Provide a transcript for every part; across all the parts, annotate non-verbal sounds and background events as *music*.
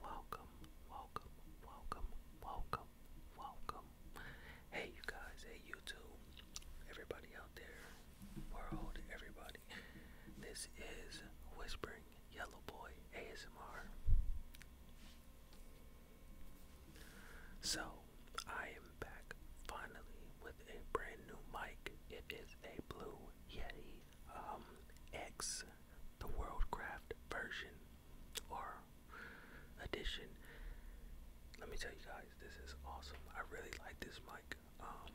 Welcome, welcome, welcome, welcome, welcome. Hey, you guys, hey, YouTube, everybody out there, world, everybody. This is Whispering Yellow Boy ASMR. So, I am back finally with a brand new mic. It is a Blue Yeti um, X, the Worldcraft version or edition. Let me tell you guys, this is awesome. I really like this mic. Um,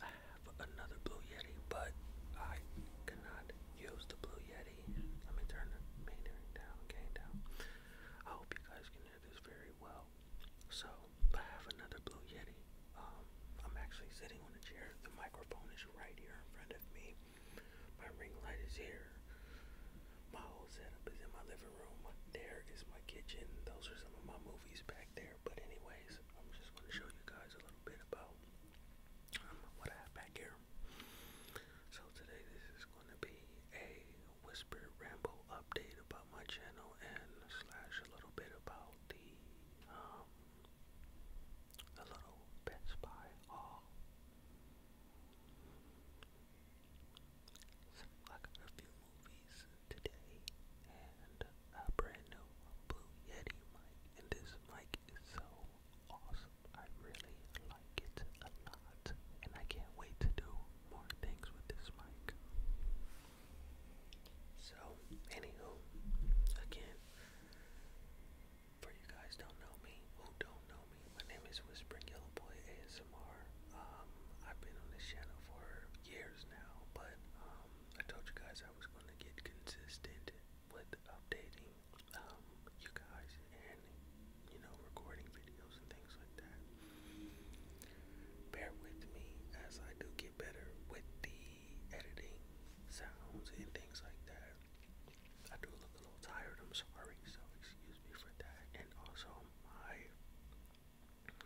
I have another Blue Yeti, but I cannot use the Blue Yeti. Let me turn the metering down, gain down. I hope you guys can hear this very well. So, I have another Blue Yeti. Um, I'm actually sitting on a chair. The microphone is right here in front of me. My ring light is here. My whole setup is in my living room. There is my kitchen. Those are some of my movies back there. But anyways, I'm just going to show you guys a little bit about um, what I have back here. So today this is going to be a whisper ramble update about my channel and slash a little bit about the um, a little Best Buy haul. like a few movies today, and a brand new Blue Yeti mic. And this mic is so awesome. I really like it a lot, and I can't wait to do more things with this mic. So, anywho, again, for you guys don't know me, who don't know me, my name is Whispering Yellow Boy ASMR. Um, I've been on this channel for years now, but um, I told you guys I was going to get consistent with updating um, you guys and you know recording videos and things like that. Bear with me as I do get better with the editing sounds and things like that. I do look a little tired, I'm sorry, so excuse me for that. And also, my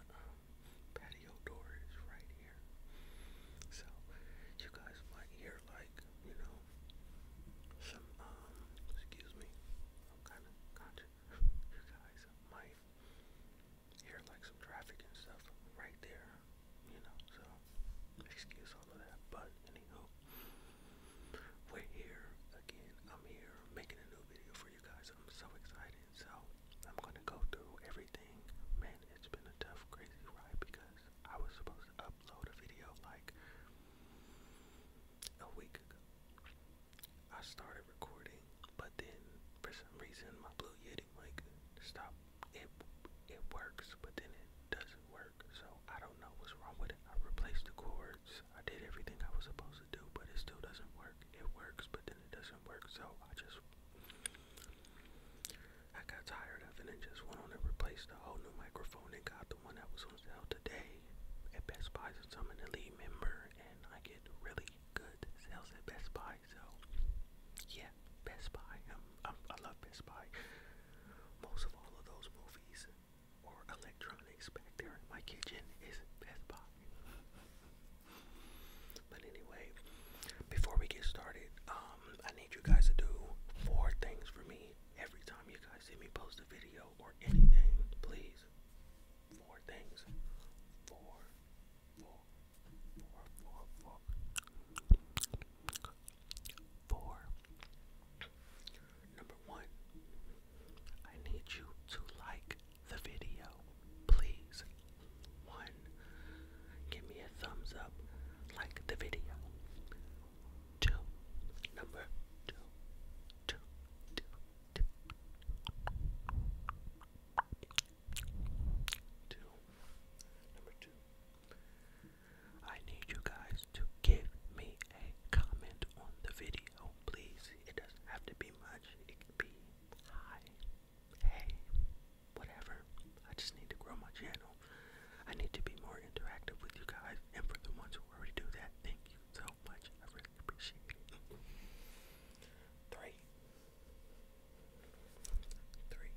um, patio door is right here. So, you guys might hear, like, you know, some, um, excuse me, i kind of you guys might hear, like, some traffic and stuff right there you know, so excuse all of that. But anywho, we're here again. I'm here making a new video for you guys. I'm so excited. So I'm gonna go through everything. Man, it's been a tough, crazy ride because I was supposed to upload a video like a week ago. I started recording, but then for some reason my Blue Yeti mic stopped it it works, but then it doesn't work. So I don't know what's wrong with it. I replaced the cords. I did everything I was supposed to do, but it still doesn't work. It works, but then it doesn't work. So I just I got tired of it and just went on and replaced the whole new microphone and got the one that was on sale today at Best Buy since I'm an elite member and I get really good sales at Best Buy. So yeah, Best Buy. i love Best Buy. Most of all of those movies or electronics back there in my kitchen is Best Buy. But anyway, before we get started, um, I need you guys to do four things for me every time you guys see me post a video or anything. Please, four things. Four, four, four, four, four four. Number one, I need you to like the video, please. One, give me a thumbs up, like the video. Two, number two, two, two, two. Two, number two. I need you guys to give me a comment on the video, please. It doesn't have to be much, it can be hi, hey, whatever. I just need to grow my channel. I need to be more interactive with you guys, and for the ones who already do that, thank you so much. I really appreciate it. Three, Three.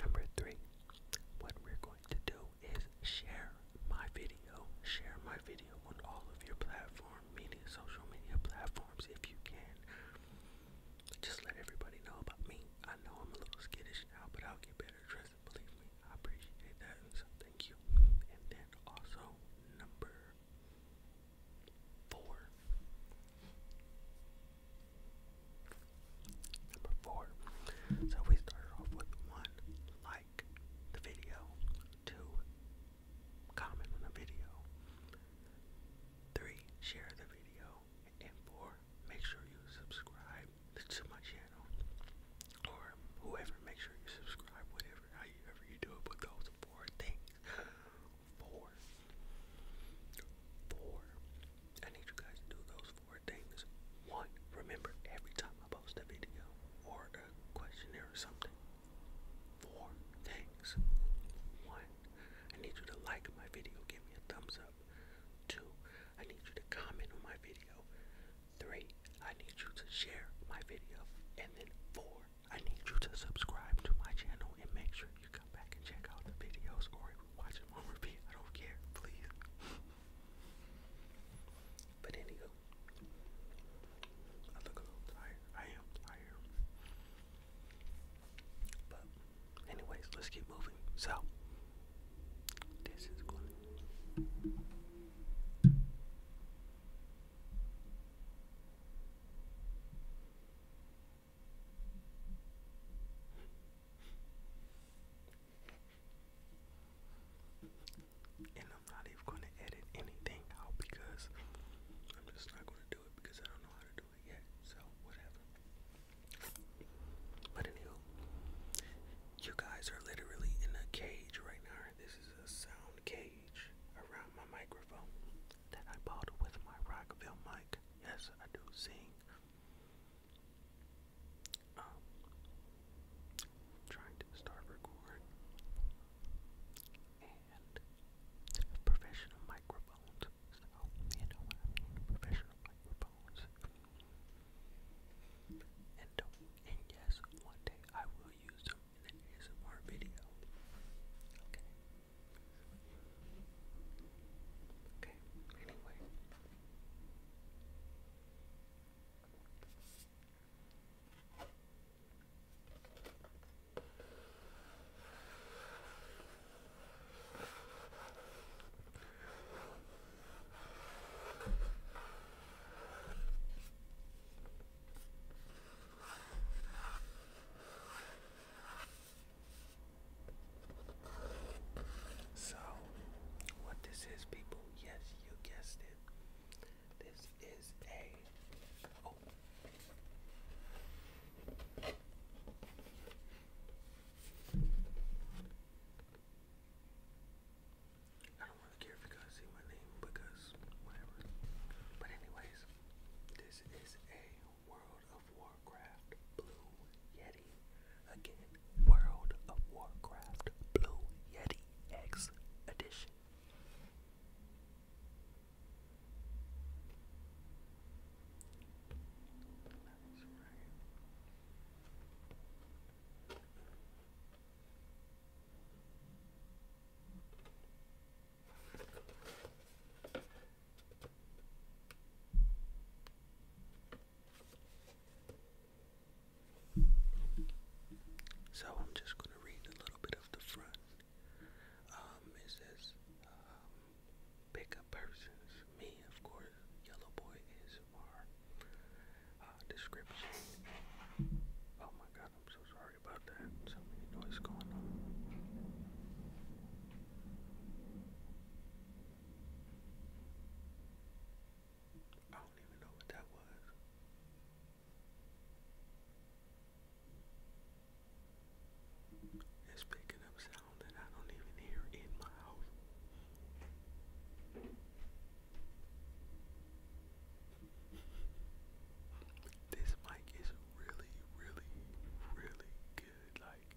Number three, what we're going to do is share my video. Share my video on all of your platform, meaning social media platforms if you can. Just let everybody know about me. I know I'm a little skittish now, but I'll get better dressed, believe me. I appreciate that, so thank you. And then also, number four. Number four. So we started off with one, like the video, two, comment on the video, three, share the video, and four, make sure you subscribe to my channel or whoever. Make sure you subscribe, whatever, however you do it. But those four things Four. Four. I need you guys to do those four things. One, remember every time I post a video or a questionnaire or something. Four things. One, I need you to like my video, give me a thumbs up. Two, I need you to comment on my video. Three, I need you to share my video. And then four, I need you to subscribe to my channel and make sure you come back and check out the videos or Watch him on repeat. I don't care, please. *laughs* but anywho, I look a little tired. I am tired. But anyways, let's keep moving. So this is going. I'm not even going to edit anything out because I'm just not going to do it because I don't know how to do it yet. So, whatever. But, anywho, you guys are literally in a cage right now. This is a sound cage around my microphone that I bought with my Rockville mic. Yes, I do sing. Um, trying to start recording professional microphones. So you know what professional microphones. And and yes, one day I will use them in an ASMR video. Okay. Okay, anyway. Okay. So, what this is, people, yes, you guessed it. This is a. Oh. don't really care if you guys see my name because whatever. But anyways, this is a World of Warcraft Blue Yeti. Again, World of Warcraft Blue Yeti X Edition. So I'm just going to read a little bit of the front. Um, it says, um, persons. Me, of course, yellow boy is our uh, description. Oh my god, I'm so sorry about that. So many noise going on. I don't even know what that was. It's picking up sound that I don't even hear in my house. This mic is really, really, really good. Like,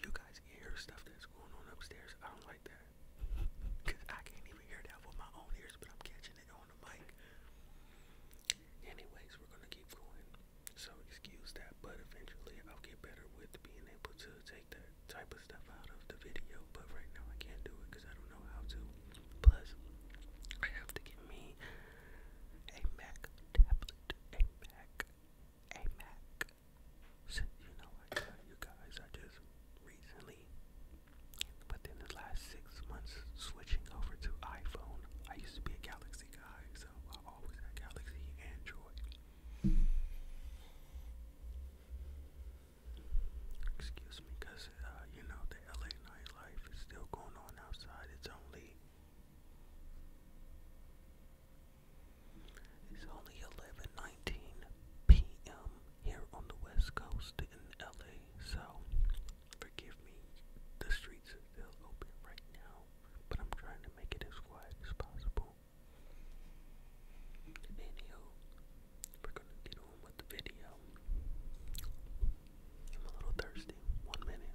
you guys hear stuff that's going on upstairs. I don't like that. Because I can't even hear that with my own ears, but I'm catching it on the mic. Anyways, we're going to keep going. So excuse that, but eventually I'll get better with being able to take that type of stuff out of the video. But right now I can't do it because I don't know how to. Plus, I have to get me a Mac tablet. A Mac a Mac. So, you know you guys, I just recently, within the last six months, switching over to iPhone. I used to be a Galaxy guy, so I always had Galaxy Android. Excuse me, because, uh, you know, the LA nightlife is still going on outside. It's only it's only 11:19 p.m. here on the West Coast in LA, so forgive me. The streets are still open right now, but I'm trying to make it as quiet as possible. Anywho, we're gonna get on with the video. I'm a little thirsty. One minute.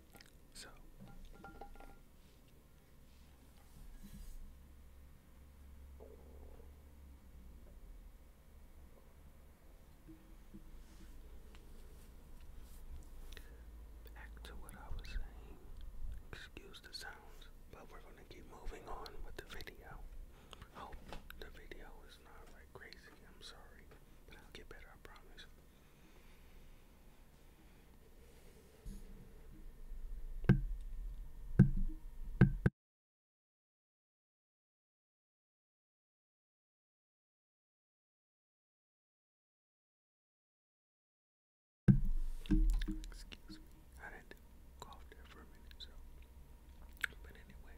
So back to what I was saying. Excuse the sounds, but we're gonna keep moving on with the video. Hope the video is not like crazy. I'm sorry, but I'll get better. I promise. Excuse me, I didn't cough there for a minute, so. But anyway,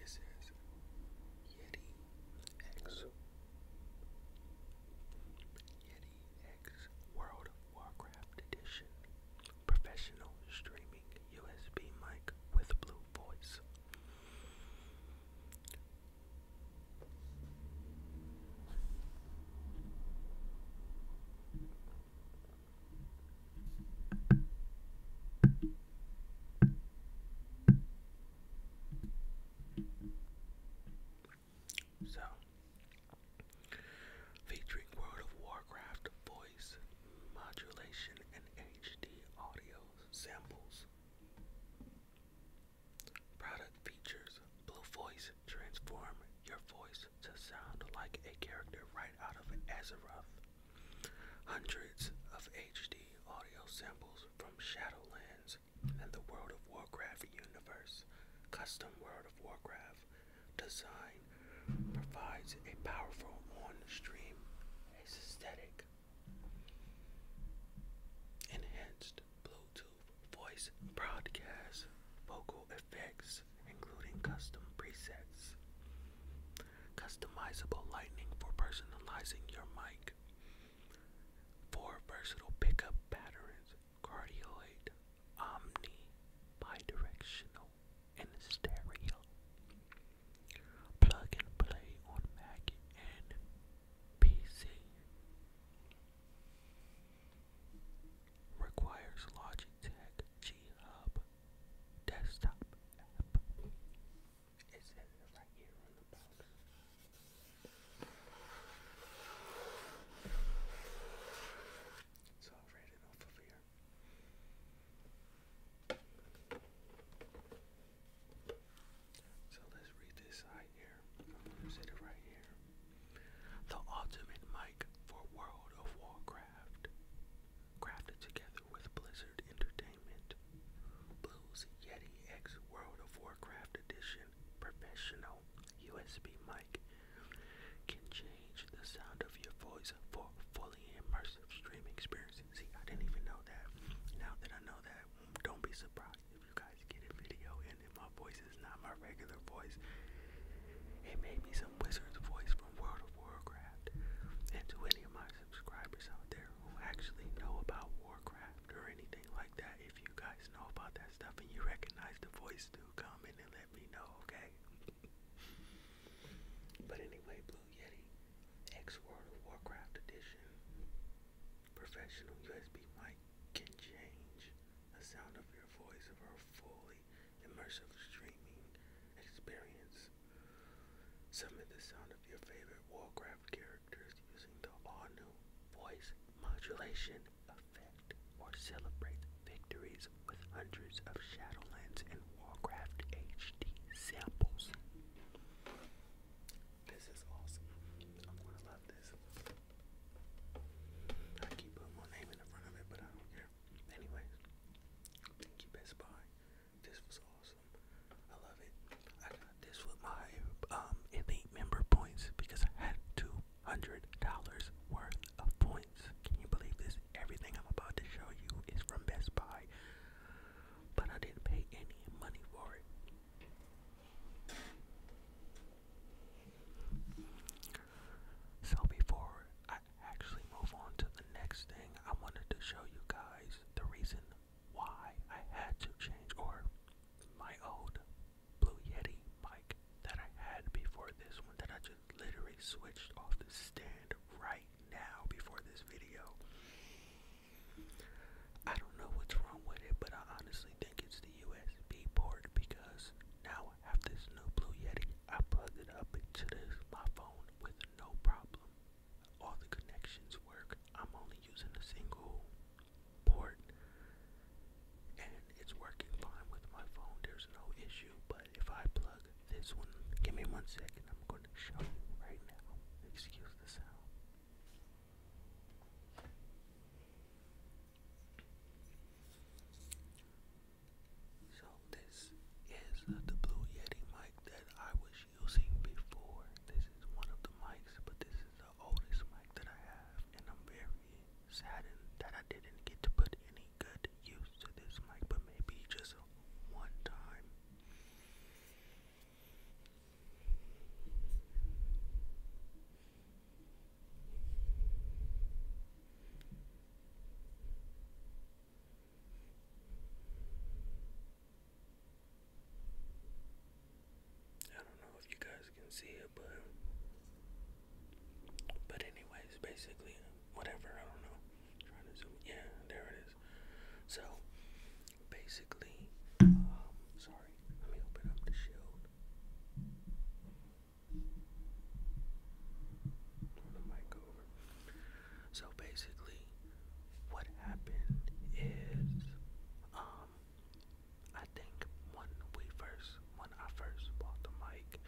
it says Yeti X. Yeti X World of Warcraft Edition. Professional streaming USB mic with blue voice. So, featuring World of Warcraft voice modulation and HD audio samples. Product features Blue Voice transform your voice to sound like a character right out of Azeroth. Hundreds of HD audio samples from Shadowlands and the World of Warcraft universe. Custom World of Warcraft design provides a powerful on-stream aesthetic. Enhanced Bluetooth voice broadcast, vocal effects, including custom presets. Customizable lighting for personalizing your mic. Four versatile pickup patterns, cardioid, omni, bidirectional, and stereo. Plug and play on Mac and PC. Requires Logitech G Hub desktop app. It's in the right ear on the powder. So I'll off of here. So let's read this side here. I'm gonna set it right here. The ultimate mic for World of Warcraft. Crafted together with Blizzard Entertainment. Blues Yeti X World of Warcraft Edition Professional USB mic can change the sound of your voice for fully immersive streaming experience. See, I didn't even know that. Now that I know that, don't be surprised if you guys get a video and if my voice is not my regular voice. It may be some wizard's voice from World of Warcraft. And to any of my subscribers out there who actually know about Warcraft or anything like that. If you guys know about that stuff and you recognize the voice, do come in and let me know, okay? but anyway, Blue Yeti, X World of Warcraft Edition, professional USB mic can change the sound of your voice for a fully immersive streaming experience. Summon the sound of your favorite Warcraft characters using the all voice modulation effect or celebrate victories with hundreds of Shadowlands and Warcraft HD samples. This is awesome. I'm gonna love this. I keep putting my name in the front of it, but I don't care. Anyways, thank you, Best Buy. This was awesome. I love it. I got this with my um, elite member points because I had two hundred dollars worth of points. Can you believe this? Everything I'm about to show you is from Best Buy, but I didn't pay any money for it. So before I actually move on to the next thing, I wanted to show you guys the reason why I had to change or my old Blue Yeti mic that I had before this one that I just literally switched off the stand right now before this video. I don't know what's wrong with it, but I honestly think it's the USB port because now I have this new Blue Yeti. I plugged it up into this, my phone with no problem all the connections work. I'm only using a single port and it's working fine with my phone. There's no issue. But if I plug this one, give me one second. I'm going to show you right now. Excuse the sound. So this is the Blue Yeti mic that I was was using before. This is one of the mics, but this is the oldest mic that I have, and I'm very saddened that I didn't get to put any good use to this mic, but maybe just one time. I don't know if you guys can see it, but but anyways, basically whatever. I don't know. trying to zoom. Yeah, there it is. So basically, um, sorry. Let me open up the shield. Turn the mic over. So basically, what happened is, um, I think when we first, when I first bought the mic,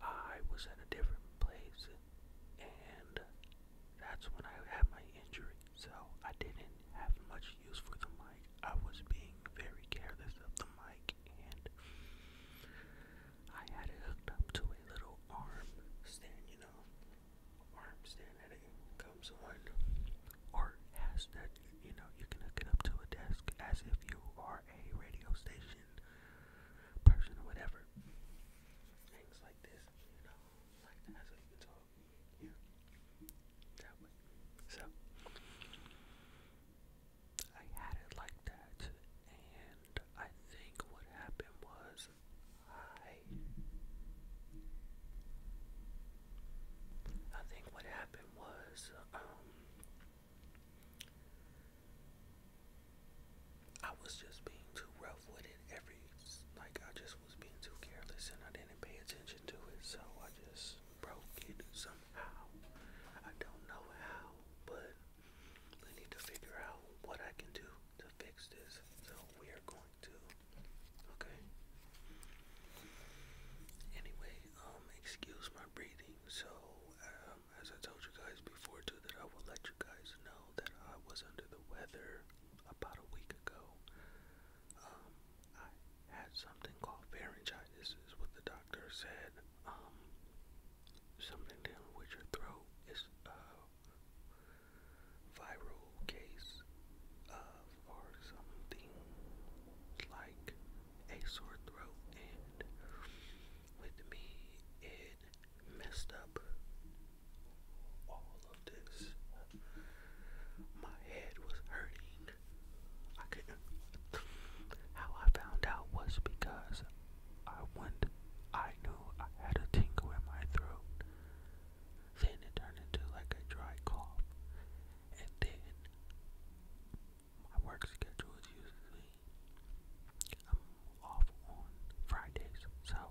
I was in a different place, and that's when I had my injury. So I didn't have much use for the mic. I was being very careless of the mic, and I had it hooked up to a little arm stand, you know, arm sanity comes on, art has that, you know, you can hook it up to a desk as if you are a radio station person or whatever. Things like this, you know, like that's how you can talk. Yeah. That way. So I had it like that and I think what happened was is I think what happened was, um, I was just being too rough with it every, like I just was being too careless and I didn't pay attention to it, so I just broke it somehow. I don't know how, but I need to figure out what I can do to fix this. So we are going Okay. Anyway, um, excuse my breathing. So, um, as I told you guys before too, that I will let you guys know that I was under the weather about a week ago. Um, I had something called pharyngitis, what the doctor said. Um, something down with your throat is uh, viral case of or something like a sore throat and with me it messed up all of this. My head was hurting. I couldn't how I found out was because I went I knew I had a tingle in my throat. Then it turned into like a dry cough. And then my work schedule is usually I'm off on Fridays. So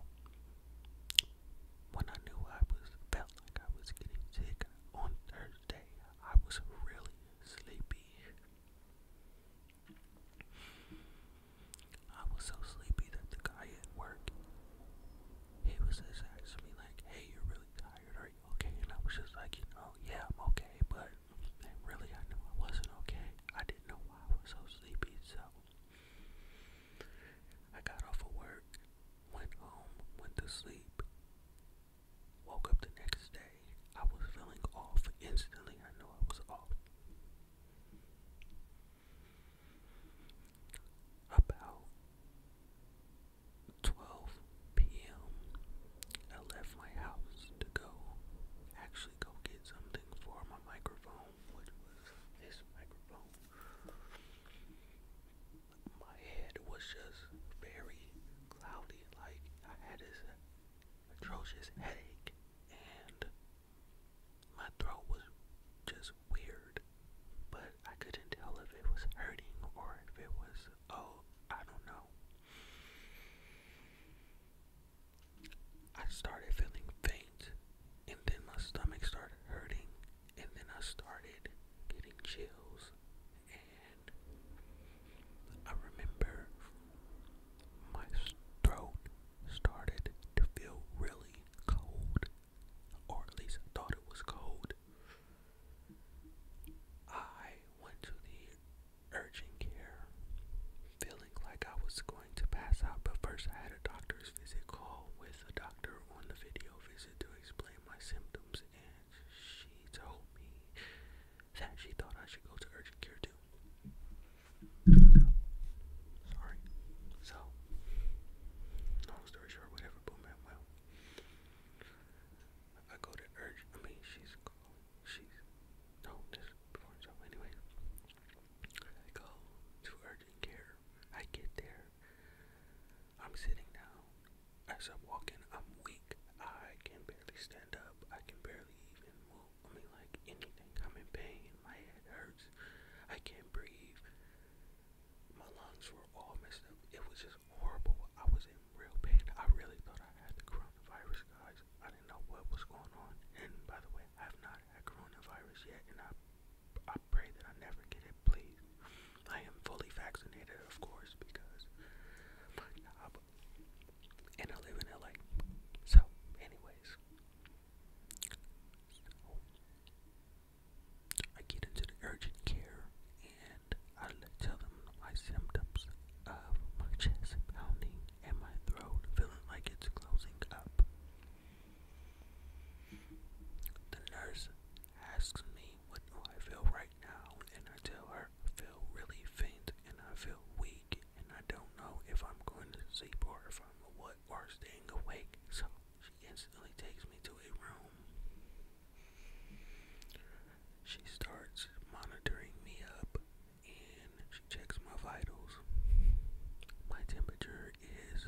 when I knew I was felt like I was getting sick on Thursday, I was really sleepy. I was so sleepy that the guy at work he was just asking me like, hey, you're really tired, are you okay? And I was just like, you know, yeah, I'm okay, but and really I knew I wasn't okay. I didn't know why I was so sleepy, so I got off of work, went home, went to sleep, woke up the next day. I was feeling off instantly. I knew I was off. About 12 p.m., I left my house to go actually go get something for my microphone, which was this microphone. My head was just very cloudy, like I had this atrocious headache, and my throat was just weird, but I couldn't tell if it was hurting or if it was, oh, I don't know. I started feeling faint, and then my stomach started hurting, and then I started getting chills, and I remember my throat started to feel really cold, or at least thought it was cold. I went to the urgent care feeling like I was going to pass out, but first I had a doctor's visit call with a doctor on the video visit to explain my symptoms, and she told me that she thought I should go to urgent care too. Sorry. So, long story short, whatever, boom, well. I go to urge, I mean, she's she's, no, this performance job, anyway. I go to urgent care, I get there, I'm sitting down, as I'm walking, I'm weak, I can barely stand up, I can barely even move, I mean, like, anything, I'm in pain, my head hurts, I can't breathe, my lungs were all messed up. It was just horrible. I was in real pain. I really thought I had the coronavirus, guys. I didn't know what was going on. And by the way, I have not had coronavirus yet, and I I pray that I never get it, please. I am fully vaccinated, of course, because my job, and I live in LA. So, anyways, I get into the urgent care and I tell them my symptoms of my chest pounding and my throat feeling like it's closing up. The nurse asks me what do I feel right now and I tell her I feel really faint and I feel weak and I don't know if I'm going to sleep or if I'm what or staying awake so she instantly takes me to a room. She starts monitoring me up and she checks my vitals. My temperature is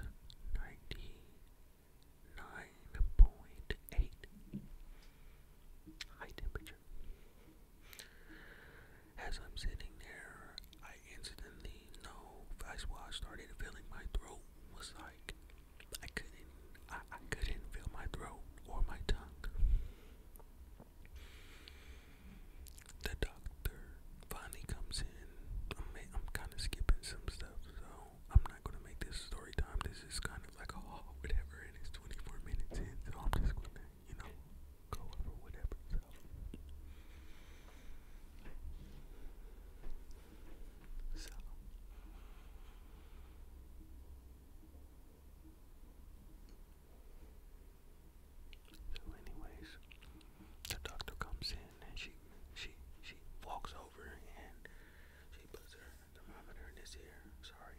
99.8. High temperature. As I'm sitting there, I instantly know, that's why I started feeling my throat was like I couldn't I, couldn't feel my throat or my tongue. The doctor finally comes in. I'm kind of skipping some stuff, so I'm not gonna make this story time. This is kind of like a haul, whatever, and it's 24 minutes in, so I'm just gonna, you know, go over whatever. So. anyways, the doctor comes in and she she she walks over and she puts her thermometer in his ear. Sorry,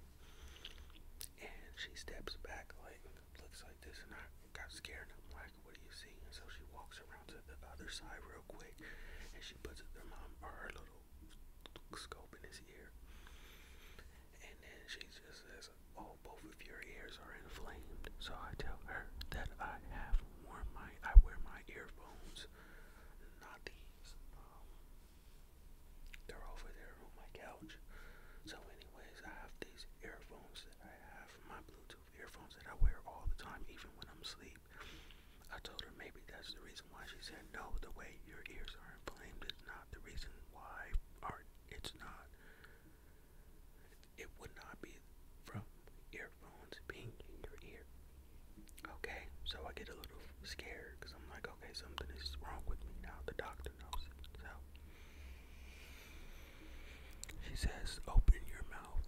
and she steps back like looks like this, and I got scared. I'm like what do you see? so she walks around to the other side real quick and she puts her mom or her little scope in his ear. And then she just says, Oh, both of your ears are inflamed. So I tell her that I have worn my I wear my earphones. Not these. Um, they're over there on my couch. So anyways, I have these earphones that I have, my Bluetooth earphones that I wear all the time, even when I'm asleep. I told her maybe that's the reason why she said no. The way your ears are inflamed is not the reason why, or it's not. It would not be from earphones being in your ear. Okay, so I get a little scared because I'm like, okay, something is wrong with me now. The doctor knows it. So she says, open your mouth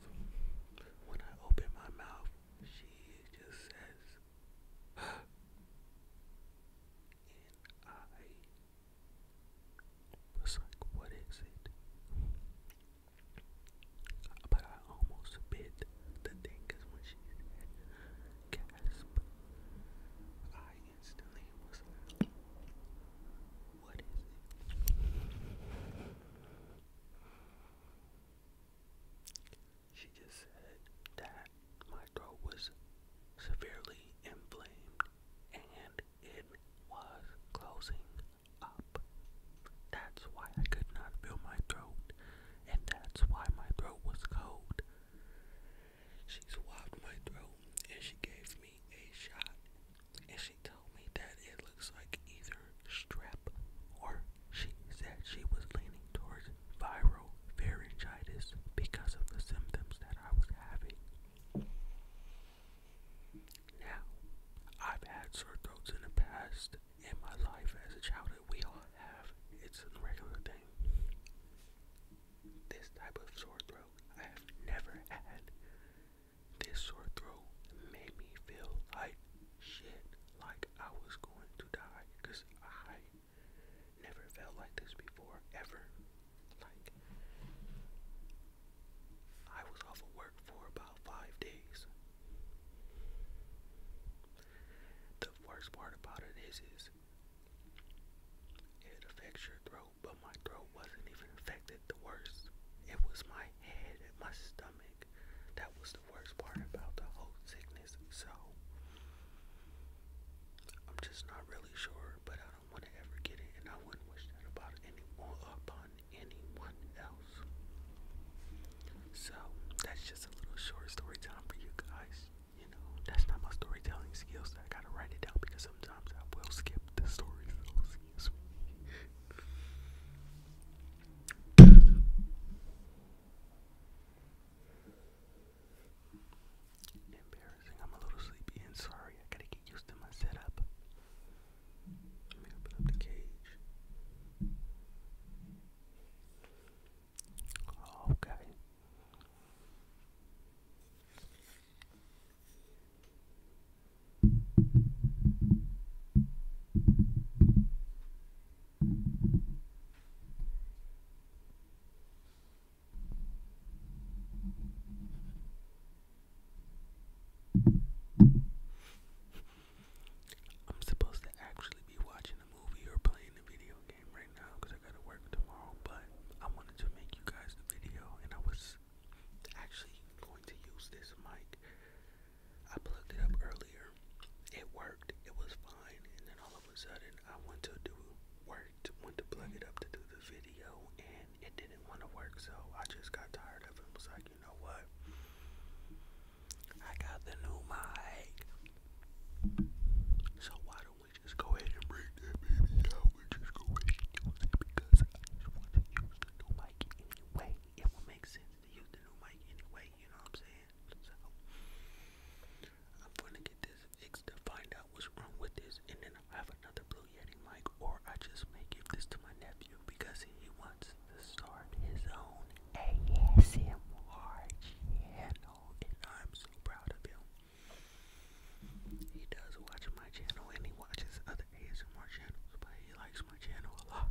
when I open my mouth, she just says, huh. I was like, what is it? But I almost bit the thing because when she said I instantly was like, what is it? She just said that my throat was severely inflamed and it was closing up. That's why I could not feel my throat, and that's why my throat was cold. She swabbed my throat and she gave me a shot and she told me that it looks like either strep or she said she was leaning towards viral pharyngitis because of the symptoms that I was having. Now, I've had sore throats in the past. In my life as a childhood, we all have. It's a regular thing. This type of sore throat I have never had. This sore throat made me feel like shit, like I was going to die, because I never felt like this before, ever. Like, I was off of work for about five days. The worst part about it is, it affects your throat, but my throat wasn't even affected the worst. It was my head and my stomach that was the worst part about the whole sickness. So I'm just not really sure, but I don't want to ever get it, and I wouldn't wish that about anyone else. So that's just a little short story time for you guys. You know, that's not my storytelling skills. I gotta write it down because sometimes I will skip the stories. Embarrassing, I'm a little sleepy and sorry. I gotta get used to my setup. Let me open up the cage. Oh, okay. I'm supposed to actually be watching a movie or playing a video game right now because I gotta work tomorrow, but I wanted to make you guys the video and I was actually going to use this mic I plugged it up earlier. It worked. It was fine. And then all of a sudden, I went to do worked, went to plug it up to do the video, and it didn't want to work. So I just got tired of it. Was like, you know what? I got the new mic. So why don't we just go ahead and break that baby out? We just go ahead use it because I just want to use the new mic anyway. It will make sense chance the mic anyway, you know what I'm saying? So I'm gonna get this fixed to find out what's wrong with this and then I'll have another Blue Yeti mic or I just may give this to my nephew because he wants to start his own ASMR channel and I'm so proud of him. He does watch my channel and he watches other ASMR channels, but he likes my channel a lot.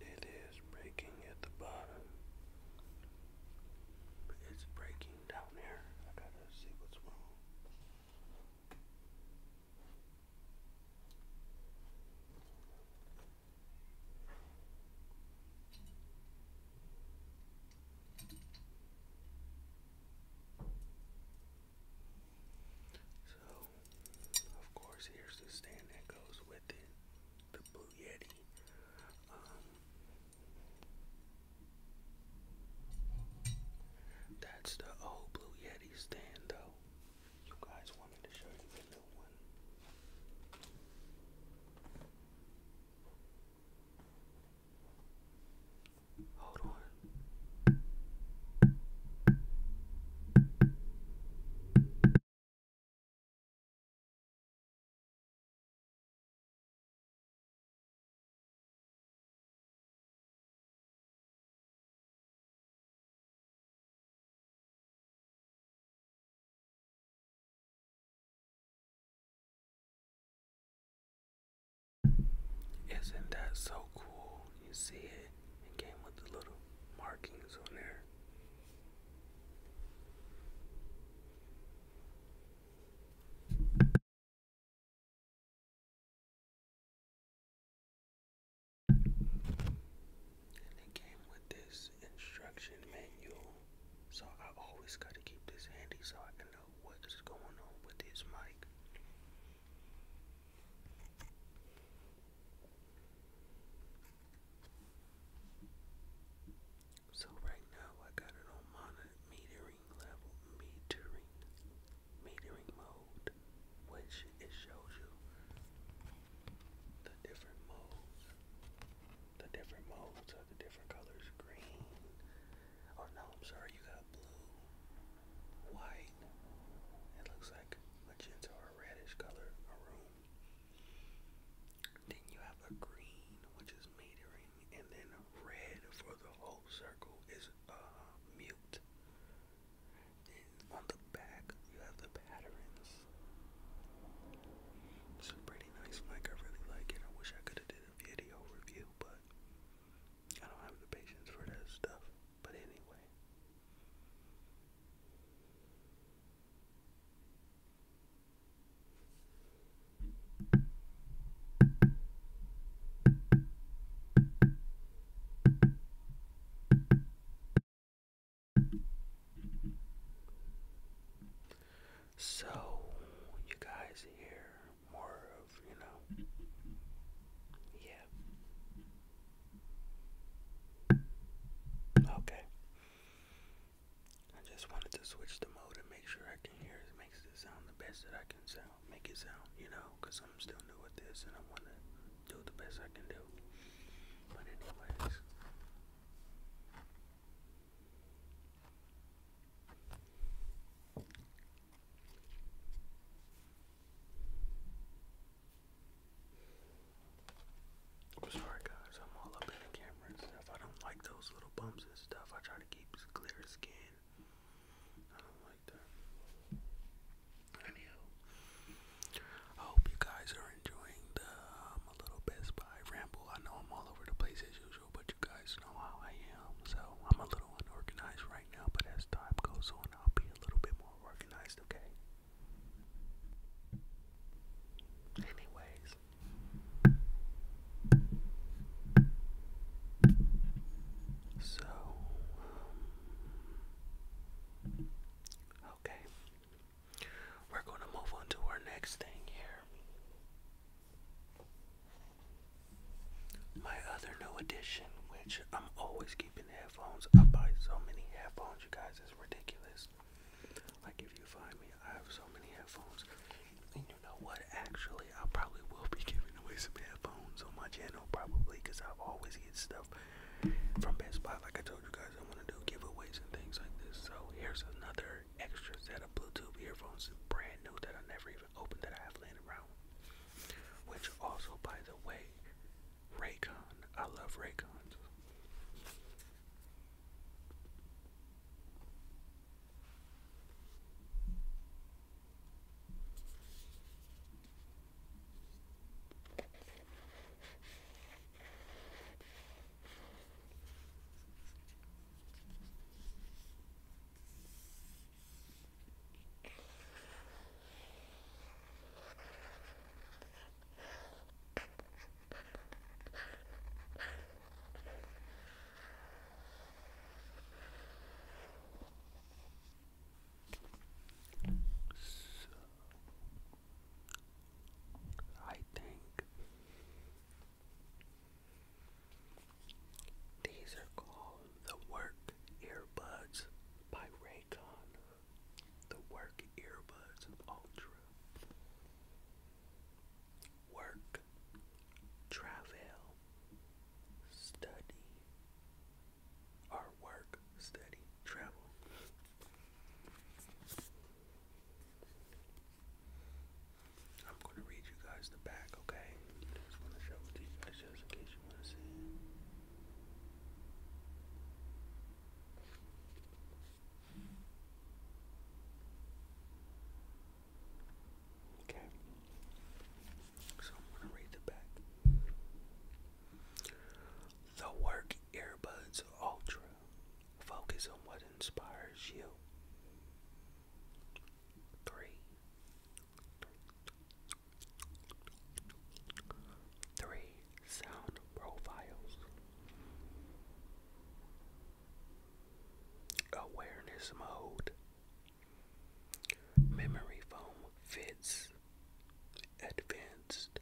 It is breaking at the bottom. It's breaking down here. I gotta see what's wrong. So of course, here's the stand that goes with it, the Blue Yeti. Um, that's the old Blue Yeti stand, though. You guys want me to show you the new one? Hold on. Isn't that so cool? You see it. It came with the little markings on there. And it came with this instruction manual, so I always got to keep this handy so I can know what is going on with this mic. So right now I got it on metering level metering metering mode which it shows you the different modes the different modes of the different colors green oh no I'm sorry you got blue white it looks like a magenta or reddish color maroon then you have a green, which is metering, and then red for the whole circle is uh, Then on the back, you have the patterns. It's a pretty nice mic. I really like it. I wish I could have did a video review, but I don't have the patience for that stuff. But anyway. So, you guys hear more of, you know, yeah, Okay. I just wanted to switch the mode and make sure I can hear it makes it sound the best that I can sound make it sound, you know, because I'm still new with this and I wanna do the best I can do. But anyways I'm sorry guys, I'm all up in the camera and stuff. I don't like those little bumps and stuff. I try to keep clear skin. I don't like that. Anyhow, I hope you guys are enjoying the um, little Best Buy ramble. I know I'm all over the place as usual, but you guys know how I am. So I'm a little unorganized right now, but as time goes on, I'll be a little bit more organized, okay? Anyways. So, um, okay. We're going to move on to our next thing here. My other new addition, which I'm always keeping headphones. I buy so many headphones, you guys, it's ridiculous this. Like if you find me, I have so many headphones. And you know what? Actually, I probably will be *laughs* giving away some headphones on my channel, probably, because I always get stuff from Best Buy. Like I told you guys, I want to do giveaways and things like this. So here's another extra set of Bluetooth earphones, brand new that I never even opened that I have laying around. Which also, by the way, Raycon. I love Raycons. So, I think these are called the Work Earbuds by Raycon the Work Earbuds Ultra. Work, travel, study, or work, study, travel. I'm going to read you guys the back, okay? just want to show it to you guys just in case you want to see Okay. So I'm going to read the back. The Work Earbuds Ultra. Focus on what inspires you. Three. Three sound profiles. Awareness mode. Memory foam fits. Advanced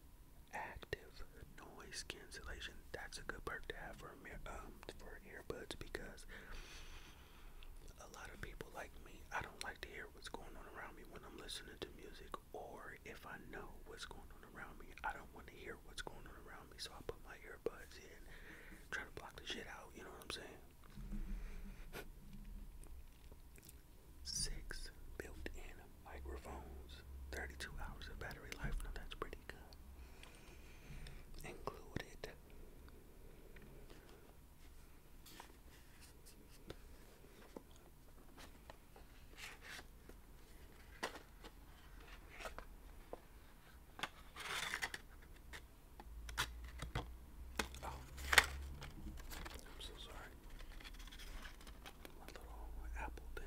active noise cancellation. That's a good perk to have for um for earbuds because a lot of people like me, I don't like to hear what's going on around me when I'm listening to music or if I know what's going on around me, I don't want to hear what's going on around me, so I put my earbuds in, try to block the shit out, you know what I'm saying? Six built in microphones, 32 hours of battery life. Now that's pretty good. Included. Oh, I'm so sorry. My little apple thing.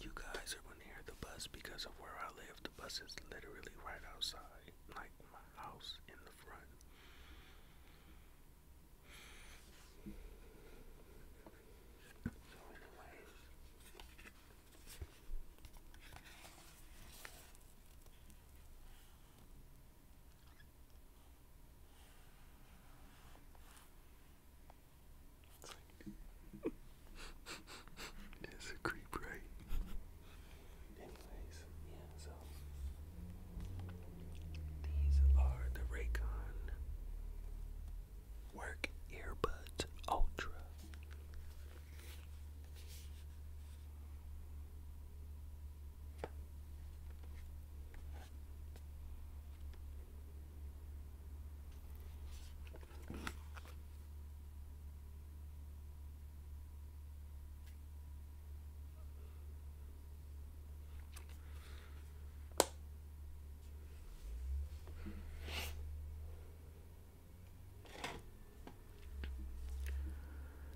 You guys are going to hear the bus because of where I live. The bus is literally right outside, like my house in the front. *laughs* it's a creep, right? yeah, so these are the Raycon Work Earbuds Ultra.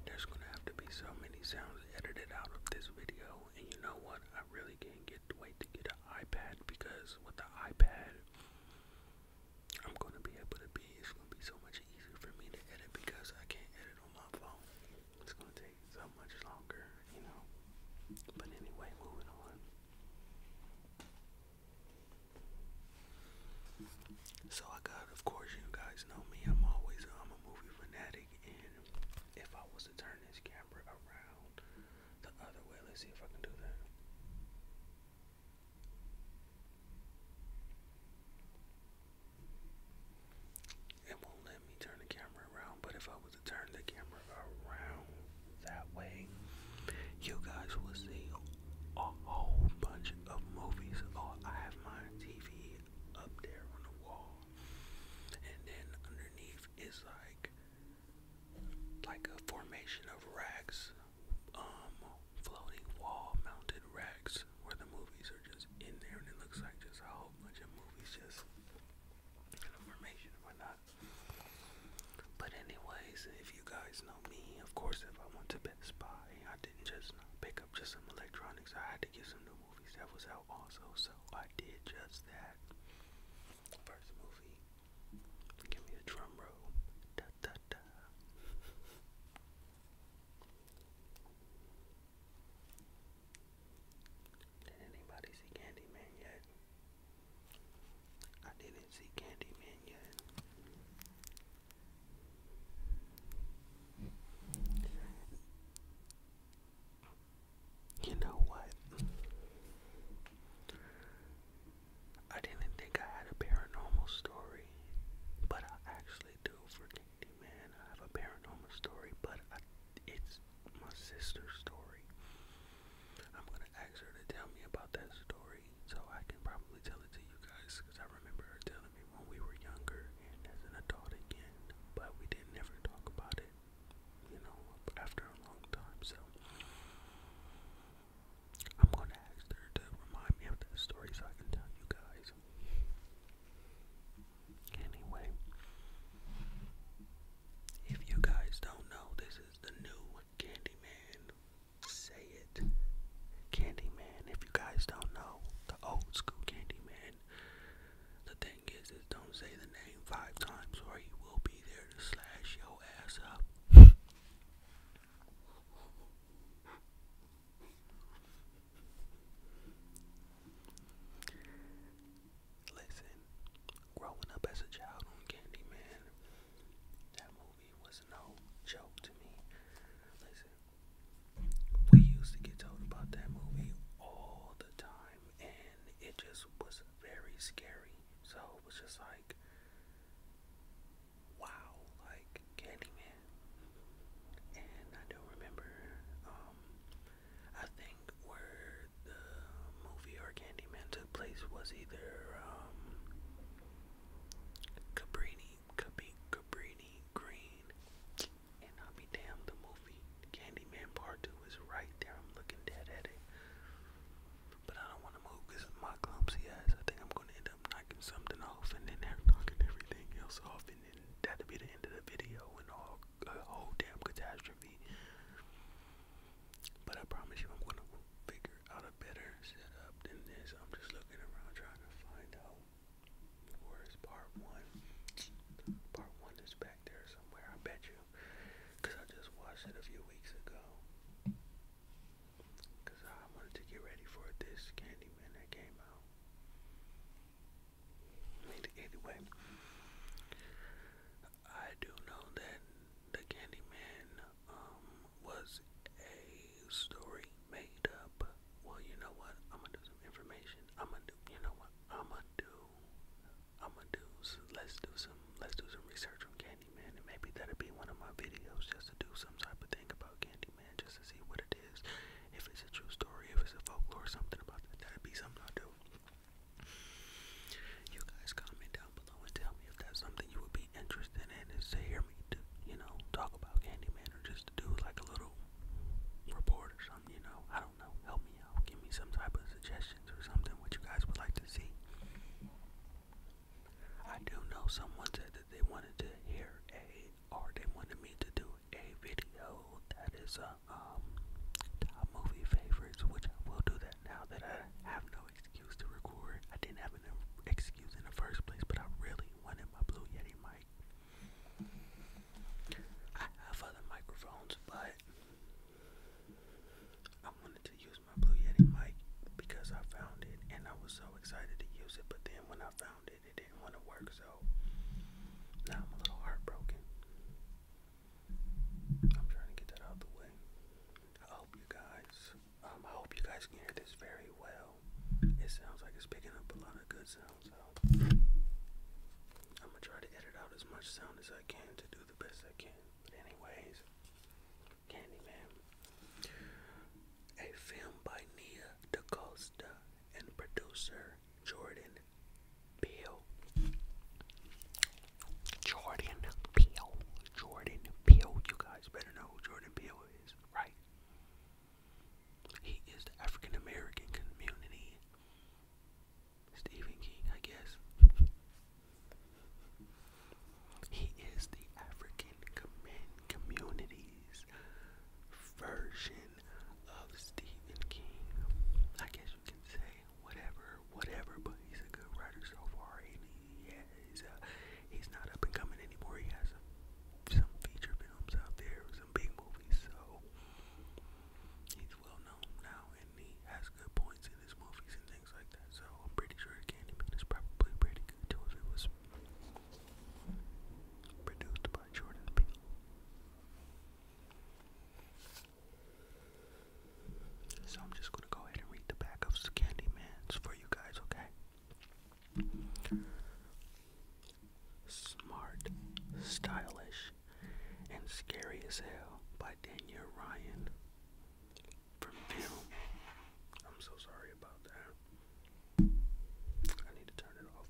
There's gonna have to be so many sounds edited out of this video, and you know what? I really can't get wait to get an iPad because with the iPad, I'm gonna be able to be. It's gonna be so much easier for me to edit because I can't edit on my phone. It's gonna take so much longer, you know. But anyway, moving on. So I got, of course, you guys know me. I'm always, I'm a movie fanatic, and if I was to turn this camera around the other way, let's see if I can do that. It won't let me turn the camera around, but if I was to turn the camera around that way, you guys will see a whole bunch of movies. Oh, I have my TV up there on the wall, and then underneath is like like a formation of rags, um, floating wall mounted racks where the movies are just in there and it looks like just a whole bunch of movies just information and whatnot. But anyways, if you guys know me, of course if I went to Best Buy, I didn't just pick up just some electronics. I had to get some new movies that was out also, so I did just that. First movie. Give me a drum roll. Da da da did anybody see Candyman yet? I didn't see Candyman yet. You know what? I didn't think I had a paranormal story, but I actually do for Candyman. I have a paranormal story, but it's my sister's story. I'm gonna ask her to tell me about that story, so I can probably tell it to you guys, because I remember her telling me when we were younger and as an adult again, but we didn't ever talk about it, you know, after a long time. So I'm gonna ask her to remind me of that story, so I can tell you guys. Anyway, if you guys don't know, this is the new Candyman. Say it. Candyman. If you guys don't know, the old school Candyman. The thing is, is don't say the name five times or he will be there to slash your ass up. *laughs* Listen, growing up as a child on Candyman, that movie was no joke to me. Listen, we used to get told about that movie all the time, and it just was very scary. So it was just like, wow, like Candyman. And I do remember um, I think where the movie Candyman took place was either um, Cabrini, Cabrini, Green, and i be damned, the movie Candyman Part 2 is right there. I'm looking dead at it. But I don't want to move because my clumsy ass. I think I'm going to end up knocking something off and then *laughs* knocking everything else off that'd be the end of the video and all a whole damn catastrophe. But I promise you, I'm gonna figure out a better setup than this. I'm just looking around trying to find out where's part one. Part one is back there somewhere. I bet you, cause I just watched it a few weeks ago. Cause I wanted to get ready for this Candyman that came out. Anyway, I do know that the Candyman um, was a story made up. Well, you know what? I'm gonna do some information. I'm gonna do. You know what? I'm gonna do. I'm gonna do. So let's do some. Let's do some research on Candyman, and maybe that'll be one of my videos, just to do some type of thing about Candyman, just to see what it is it is. If it's a true story, if it's a folklore, something about that, that'd be something I'll do. You guys comment down below and tell me if that's something you would be interested in is to hear me, do, you know, talk about Candyman or just to do like a little report or something, you know. I don't know. Help me out. Give me some type of suggestions or something what you guys would like to see. I do know someone said that they wanted to hear a, or they wanted me to do a video that is a uh, um movie favorites, which I will do that now that I have no excuse to record. I didn't have an excuse in the first place, but I really wanted my Blue Yeti mic. I have other microphones, but I wanted to use my Blue Yeti mic because I found it and I was so excited to use it. But then when I found it it, didn't want to work, so now I'm a little heartbroken. I'm trying to get that out of the way. I hope you guys, um, I hope you guys can hear this very well. It sounds like it's picking up a lot of good sounds, I'm gonna try to edit out as much sound as I can to do the best I can. But anyways, Candyman, a film by Nia DaCosta and producer Jordan Peele, Jordan Peele, Jordan Peele. You guys better know Jordan Peele is, right? He is the African American community. Stephen King, I guess. He is the African com community's version fan of Stephen King. I guess you can say whatever, whatever, but he's a good writer so far. And he, yeah, he's, uh, he's not up and coming anymore. He has some, some feature films out there, some big movies, so he's well known now, and he has good points in his movies and things like that. So I'm pretty sure Candyman is probably pretty good too if it was produced by Jordan Peele. So I'm just gonna go ahead and read the back of the Candyman's for you guys, okay? Smart, Stylish, and Scary as Hell by Daniel Ryan from film. I'm so sorry about that. I need to turn it off.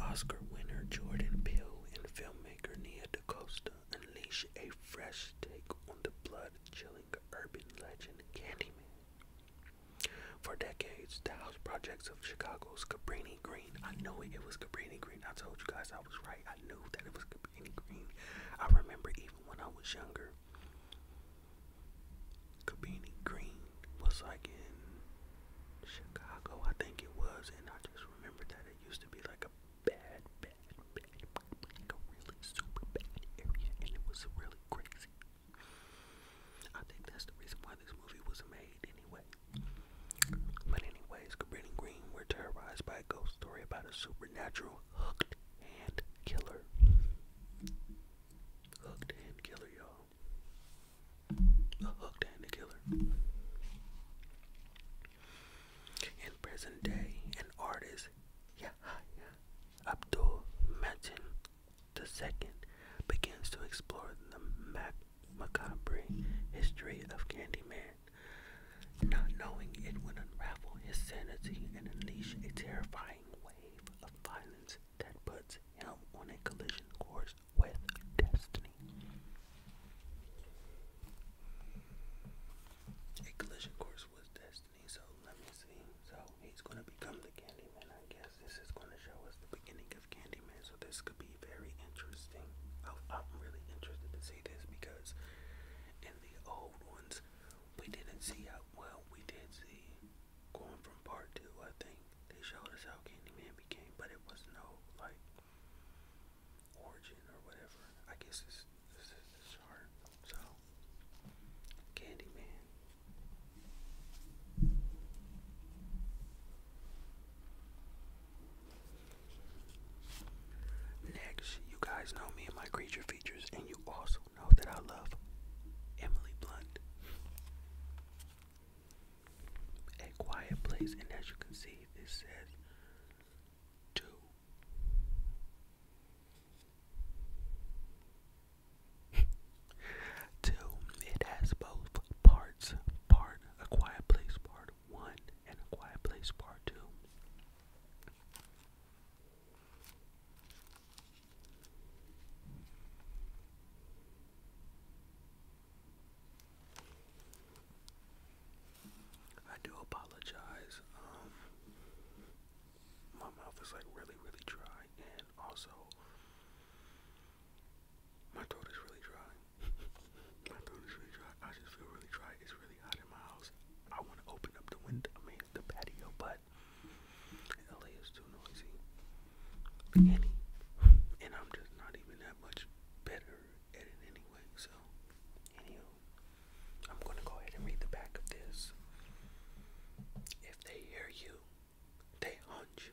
Oscar winner Jordan Peele and filmmaker Nia DaCosta unleash a fresh take on the blood-chilling urban legend Candyman. For decades, the house projects of Chicago's Cabrini Green, I know it was Cabrini Green, I told you guys I was right, I knew that it was Cabrini Green. I remember even when I was younger, Cabrini Green was like in Chicago, I think it was, and I just remember that it used to be like a bad, bad, bad, like a really super bad area, and it was really crazy. I think that's the reason why this movie was made, anyway. But anyways, Cabrini Green were terrorized by a ghost story about a supernatural hooked hand killer. Hooked hand killer, y'all. The hooked handy killer. In present day, an artist, Yahya Abdul Matin II, begins to explore the macabre history of Candyman, not knowing it would unravel his sanity and unleash a terrifying wave of violence that puts him on a collision course with destiny. A collision course with destiny, so let me see. So he's gonna become the Candyman, I guess. This is gonna show us the beginning of Candyman, so this could be very interesting. I'm really interested to see this because in the old ones, we didn't see how well we did see going from part two, I think they showed us how Candyman became, but it was no like origin or whatever. I guess it's this is hard. start. So Candyman. Next, you guys know me and my creature features, and you also know that I love Emily Blunt. A quiet place, and as you can see, this says two. *laughs* two. It has both parts. Part a quiet place, part one, and a quiet place, part two. I do apologize. Um, my mouth is like really, really dry, and also my throat is really dry. *laughs* my throat is really dry. I just feel really dry. It's really hot in my house. I want to open up the window, I mean the patio, but LA is too noisy. And I'm just not even that much better at it anyway. So, anywho, I'm gonna go ahead and read the back of this. If they hear you, they hunt you.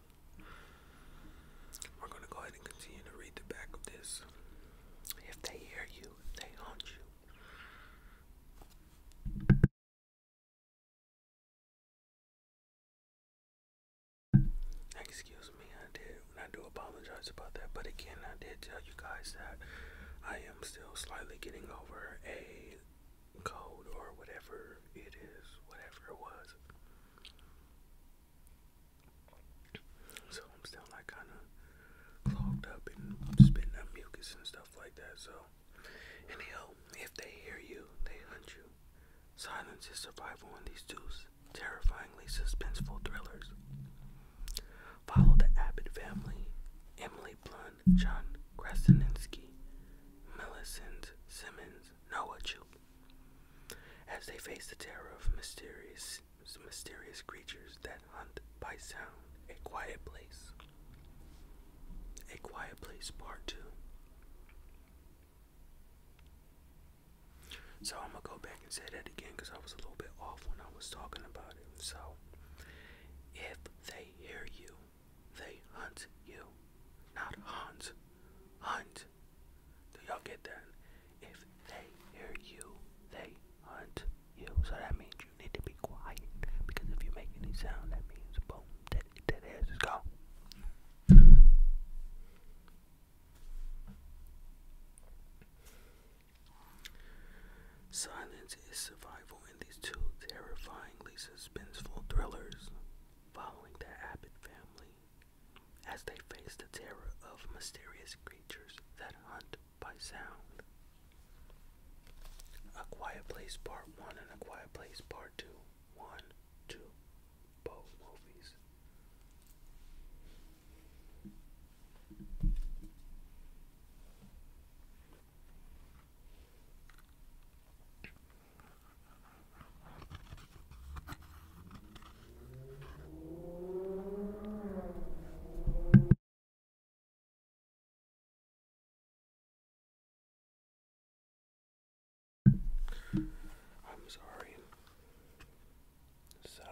we're gonna go ahead and continue to read the back of this. If they hear you, they haunt you. Excuse me, I did. I do apologize about that, but again, I did tell you guys that I am still slightly getting over a cold or whatever it is, whatever it was. So I'm still like kind of clogged up and spitting up mucus and stuff like that. So, anyhow, oh, if they hear you, they hunt you. Silence is survival in these two terrifyingly suspenseful thrillers. Follow the Abbott family, Emily Blunt, John Krasinski, Millicent Simmons, Noah, know as they face the terror of mysterious mysterious creatures that hunt by sound. A Quiet Place. A Quiet Place Part 2. So I'm going to go back and say that again because I was a little bit off when I was talking about it. So, if they hear you, they hunt you. Not hunt. Hunt do y'all get that? If they hear you, they hunt you. So that means you need to be quiet. Because if you make any sound, that means boom, that, that ass is gone. Silence is survival in these two terrifyingly suspenseful thrillers following the Abbott family as they face the terror of mysterious creatures that hunt by sound. A Quiet Place Part 1 and A Quiet Place Part 2. both movies. I'm sorry. So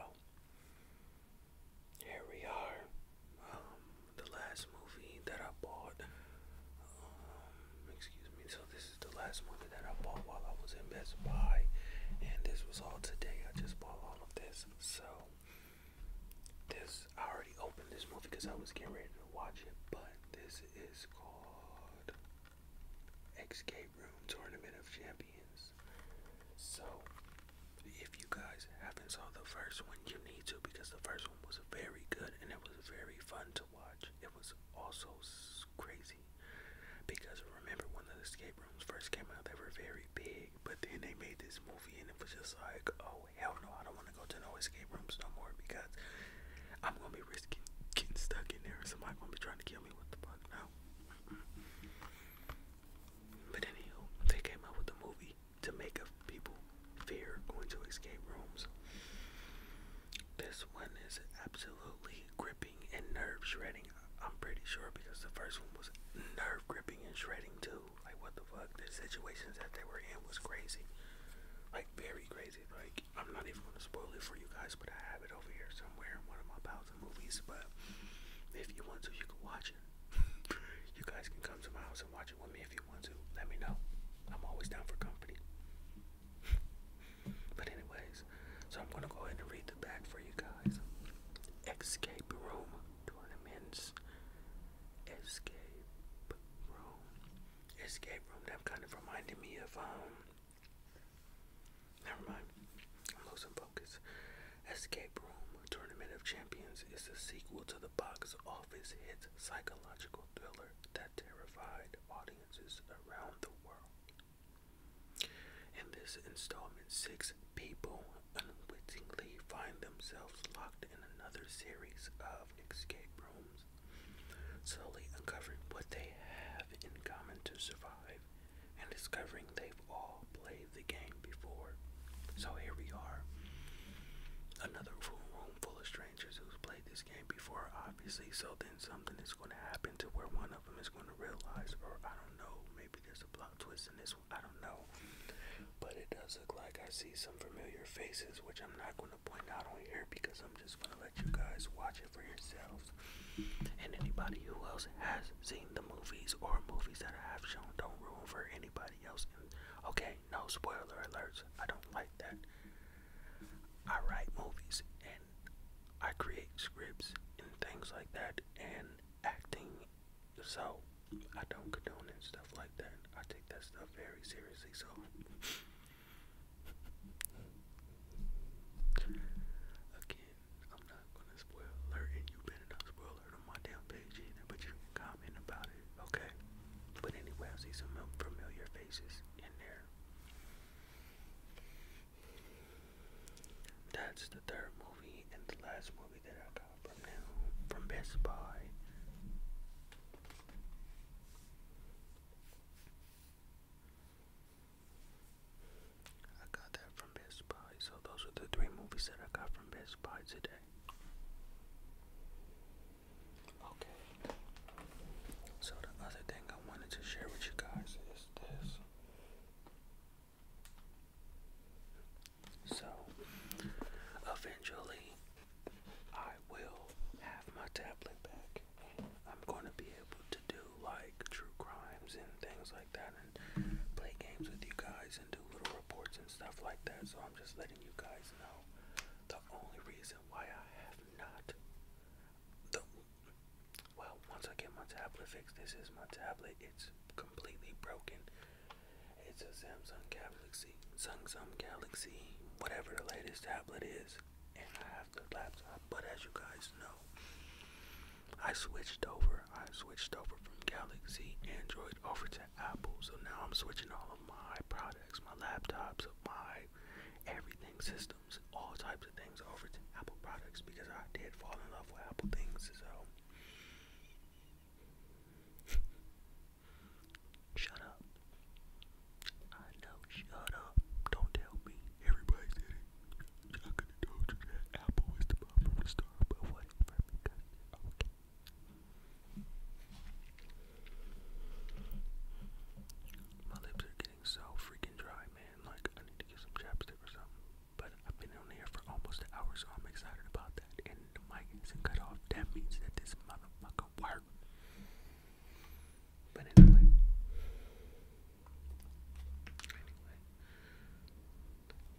here we are. Um, the last movie that I bought. Um, excuse me this is the last movie that I bought while I was in Best Buy, and this was all today. I just bought all of this, so this I already opened this movie because I was getting ready to watch it, but this is called Escape Room Tournament of Champions. So if you guys haven't saw the first one, you need to because the first one was very good and it was very fun to watch. It was also crazy crazy. Because remember when the escape rooms first came out, they were very big, but then they made this movie and it was just like, oh hell no, I don't want to go to no escape rooms no more because I'm gonna be risking getting stuck in there and somebody gonna be trying to kill me. What the fuck? No. But anyhow, they came out with the movie to make up people fear going to escape rooms. This one is absolutely gripping and nerve shredding. I'm pretty sure because the first one was nerve gripping and shredding too. Like what the fuck? The situations that they were in was crazy. Like very crazy. Like I'm not even gonna spoil it for you guys, but I have it over here somewhere in one of my piles of movies. But if you want to, you can watch it. *laughs* you guys can come to my house and watch it with me if you want to. Let me know. I'm always down for company. *laughs* But anyways, so I'm gonna go ahead and read the back for you guys. Escape room tournaments. Escape room. Escape room. That kind of reminded me of um. Never mind. I'm focus. Escape Room Tournament of Champions is the sequel to the box office hit psychological thriller that terrified audiences around the world. In this installment, six people unwittingly find themselves locked in another series of escape rooms, slowly uncovering what they have in common to survive and discovering they've all played the game before. So here we are. Another room full of strangers who's played this game before, obviously, so something is is going to happen to where one of them is going to realize, or I don't know, maybe there's a plot twist in this one, I don't know. But it does look like I see some familiar faces, which I'm not going to point out on here because I'm just going to let you guys watch it for yourselves. And anybody who else has seen the movies or movies that I have shown, don't ruin for anybody else. And, okay, no spoiler alerts. I don't like that. I write movies I create scripts and things like that and acting. So I don't condone stuff like that. I take that stuff very seriously. So again, I'm not gonna spoil alert, and you better not spoil alert on my damn page either. But you comment about it, okay? But anyway, I see some familiar faces in there. That's the third movie and the last movie that I got from now from Best Buy. I got that from Best Buy. So those are the three movies that I got from Best Buy today. Okay. So the other thing I wanted to share with you guys is this. So, eventually, I will have my tablet back. I'm going to be able to do like true crimes and things like that, and play games with you guys, and do little reports and stuff like that. So, I'm just letting you guys know the only reason why I have not, the, well, once I get my tablet fixed, this is my tablet. It's completely broken. It's a Samsung Galaxy, Samsung Galaxy, whatever the latest tablet is, and I have the laptop. But as you guys know, I switched over. I switched over from Galaxy Android over to Apple. So now I'm switching all of my products, my laptops, my everything system all types of things over to Apple products because I did fall in love with Apple things. So *laughs* shut up. I know. Shut up. Don't tell me. Everybody did it. I could have told you Apple is the bomb from the start, but whatever. Because okay. My lips are so freaking dry, man. Like, I need to get some chapstick or something. But I've been on here for almost an hour, so I'm excited about that. And the mic isn't cut off. That means that this motherfucker worked. But anyway. Anyway.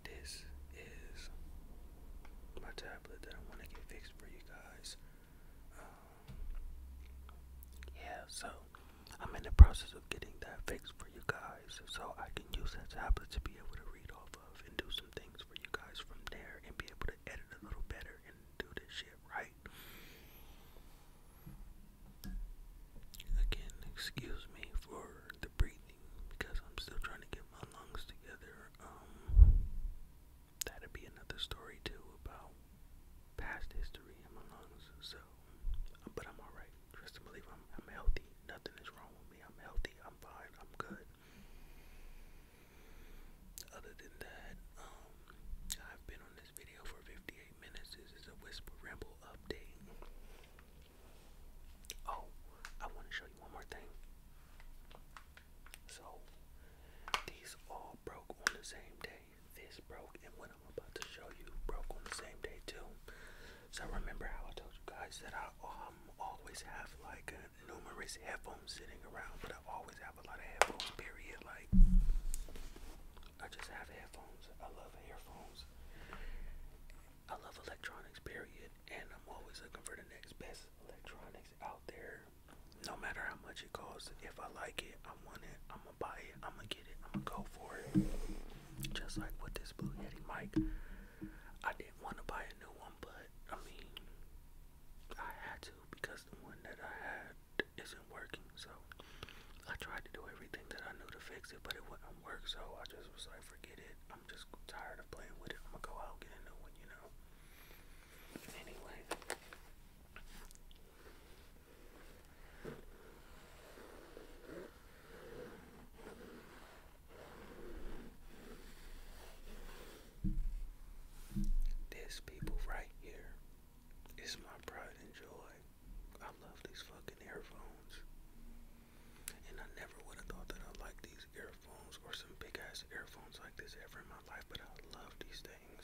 This is my tablet that I want to get fixed for you guys. Um, yeah, so I'm in the process of getting that fixed for you guys so I can use that tablet to be able to read off of and do some things for you guys from there and be able to edit a little better and do this shit right. Again, excuse me for the breathing because I'm still trying to get my lungs together. Um, that'd be another story too about past history in my lungs. So but I'm alright. Trust believe I'm healthy. Nothing is wrong with me. I'm healthy. I'm fine. I'm good. Other than that, um, I've been on this video for 58 minutes. This is a whisper ramble update. Oh, I want to show you one more thing. So, these all broke on the same day. This broke and what I'm about to show you broke on the same day too. So remember how I told you guys that I um always have like numerous headphones sitting around, but I always have a lot of headphones. Period. Like I just have headphones. I love headphones. I love electronics. Period. And I'm always looking for the next best electronics out there. No matter how much it costs, if I like it, I want it. I'm I'ma buy it. I'ma get it. I'ma go for it. Just like with this Blue Yeti mic, I didn't want to buy a new one, but I mean, I had to because the one that I had isn't working. So I tried to do everything that I knew to fix it, but it wouldn't work. So I just was like, forget it. I'm just tired of playing with it. I'm gonna go out and get a new one, you know. Anyway. This people right here is my pride and joy. I love these fucking earphones. And I never would have thought that I'd these earphones or some big ass earphones like this ever in my life, but I love these things.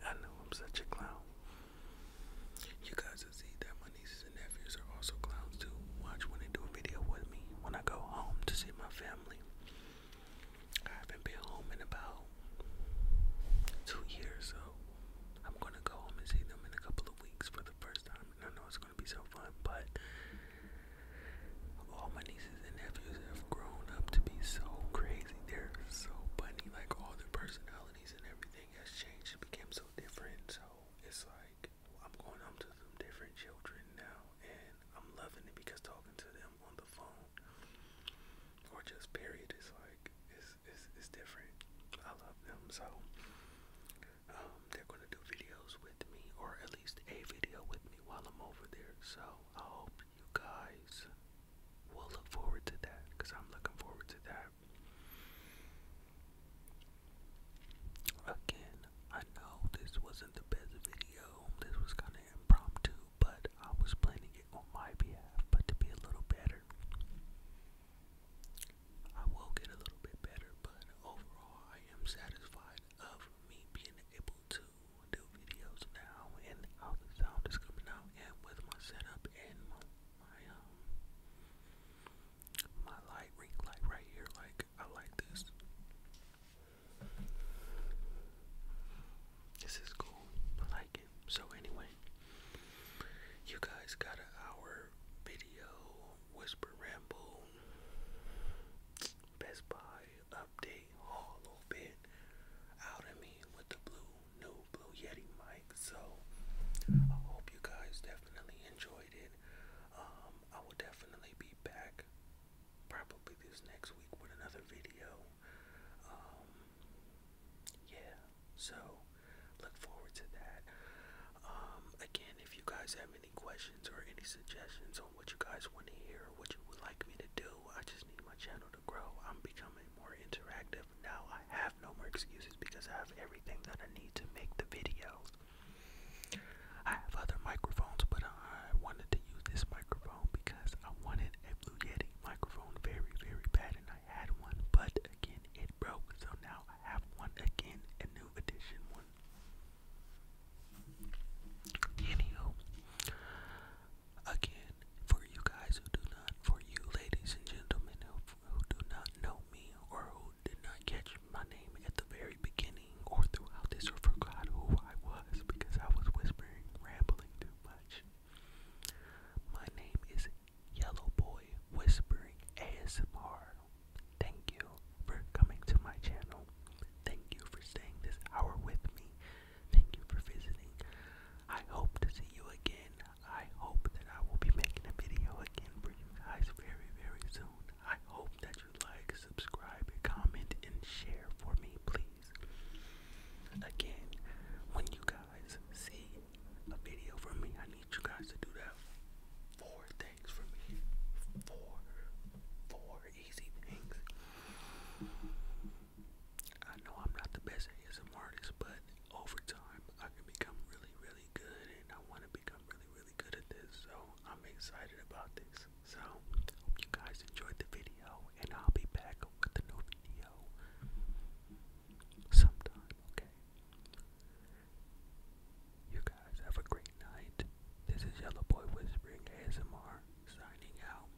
I know I'm such a clown. You guys will see that my nieces and nephews are also clowns too. Watch when they do a video with me when I go home to see my family. I haven't been home in about two years, so I'm gonna go home and see them in a couple of weeks for the first time. I know it's gonna be so fun, but all my nieces and nephews have grown up to be so crazy. They're so funny, like all their personalities and everything has changed. It became so different, so it's like I'm going up to some different children now, and I'm loving it because talking to them on the phone or just period is like it's it's, it's different. I love them so. Um, they're gonna do videos with me, or at least a video with me while I'm over there. So I hope you guys will look forward to that, cause I'm looking forward to that. Again, I know this wasn't the best video, this was kind of impromptu, but I was planning it on my behalf, but to be a little better. I will get a little bit better, but overall, I am satisfied of me being able to do videos now and how the sound is coming out and with my setup and my my um my light ring light right here. Like I like this. This is cool. I like it. So anyway, you guys got our video whisper ramble Best Buy update haul a little bit out of me with the blue new Blue Yeti mic. So I hope you guys definitely enjoyed it. Um, I will definitely be back probably this next week with another video. Um, yeah, so look forward to that. Um, again, if you guys have any questions or any suggestions on what you guys want to hear or what you would like me to do, I just need my channel to grow. I'm becoming more interactive. Now I have no more excuses because I have everything that I need to make the videos. I have other microphones, but I wanted to use this microphone because I wanted a Blue Yeti microphone very, very bad, and I had one, but again, it broke, so now I have one again, a new edition one. Anywho, again, for you guys who do not, for you ladies and gentlemen who do not know me or who did not catch my name at the very beginning or throughout this or forgot who I was because I was whispering, rambling too much. My name is Yellow Boy Whispering ASMR. Thank you for coming to my channel. Thank you for staying this hour with me. Thank you for visiting. I hope to see you again. I hope that I will be making a video again for you guys very, very soon. I hope that you like, subscribe, comment, and share for me, please. Again, when you guys see a video from me, I need you guys to do that. Four things for me. Four, four easy things. I know I'm not the best ASM artist, but over time I can become really, really good and I want to become really, really good at this. So I'm excited about this. So hope you guys enjoyed the video and I'll be back with a new video sometime, okay? You guys have a great night. This is Yellow Boy Whispering ASMR signing out.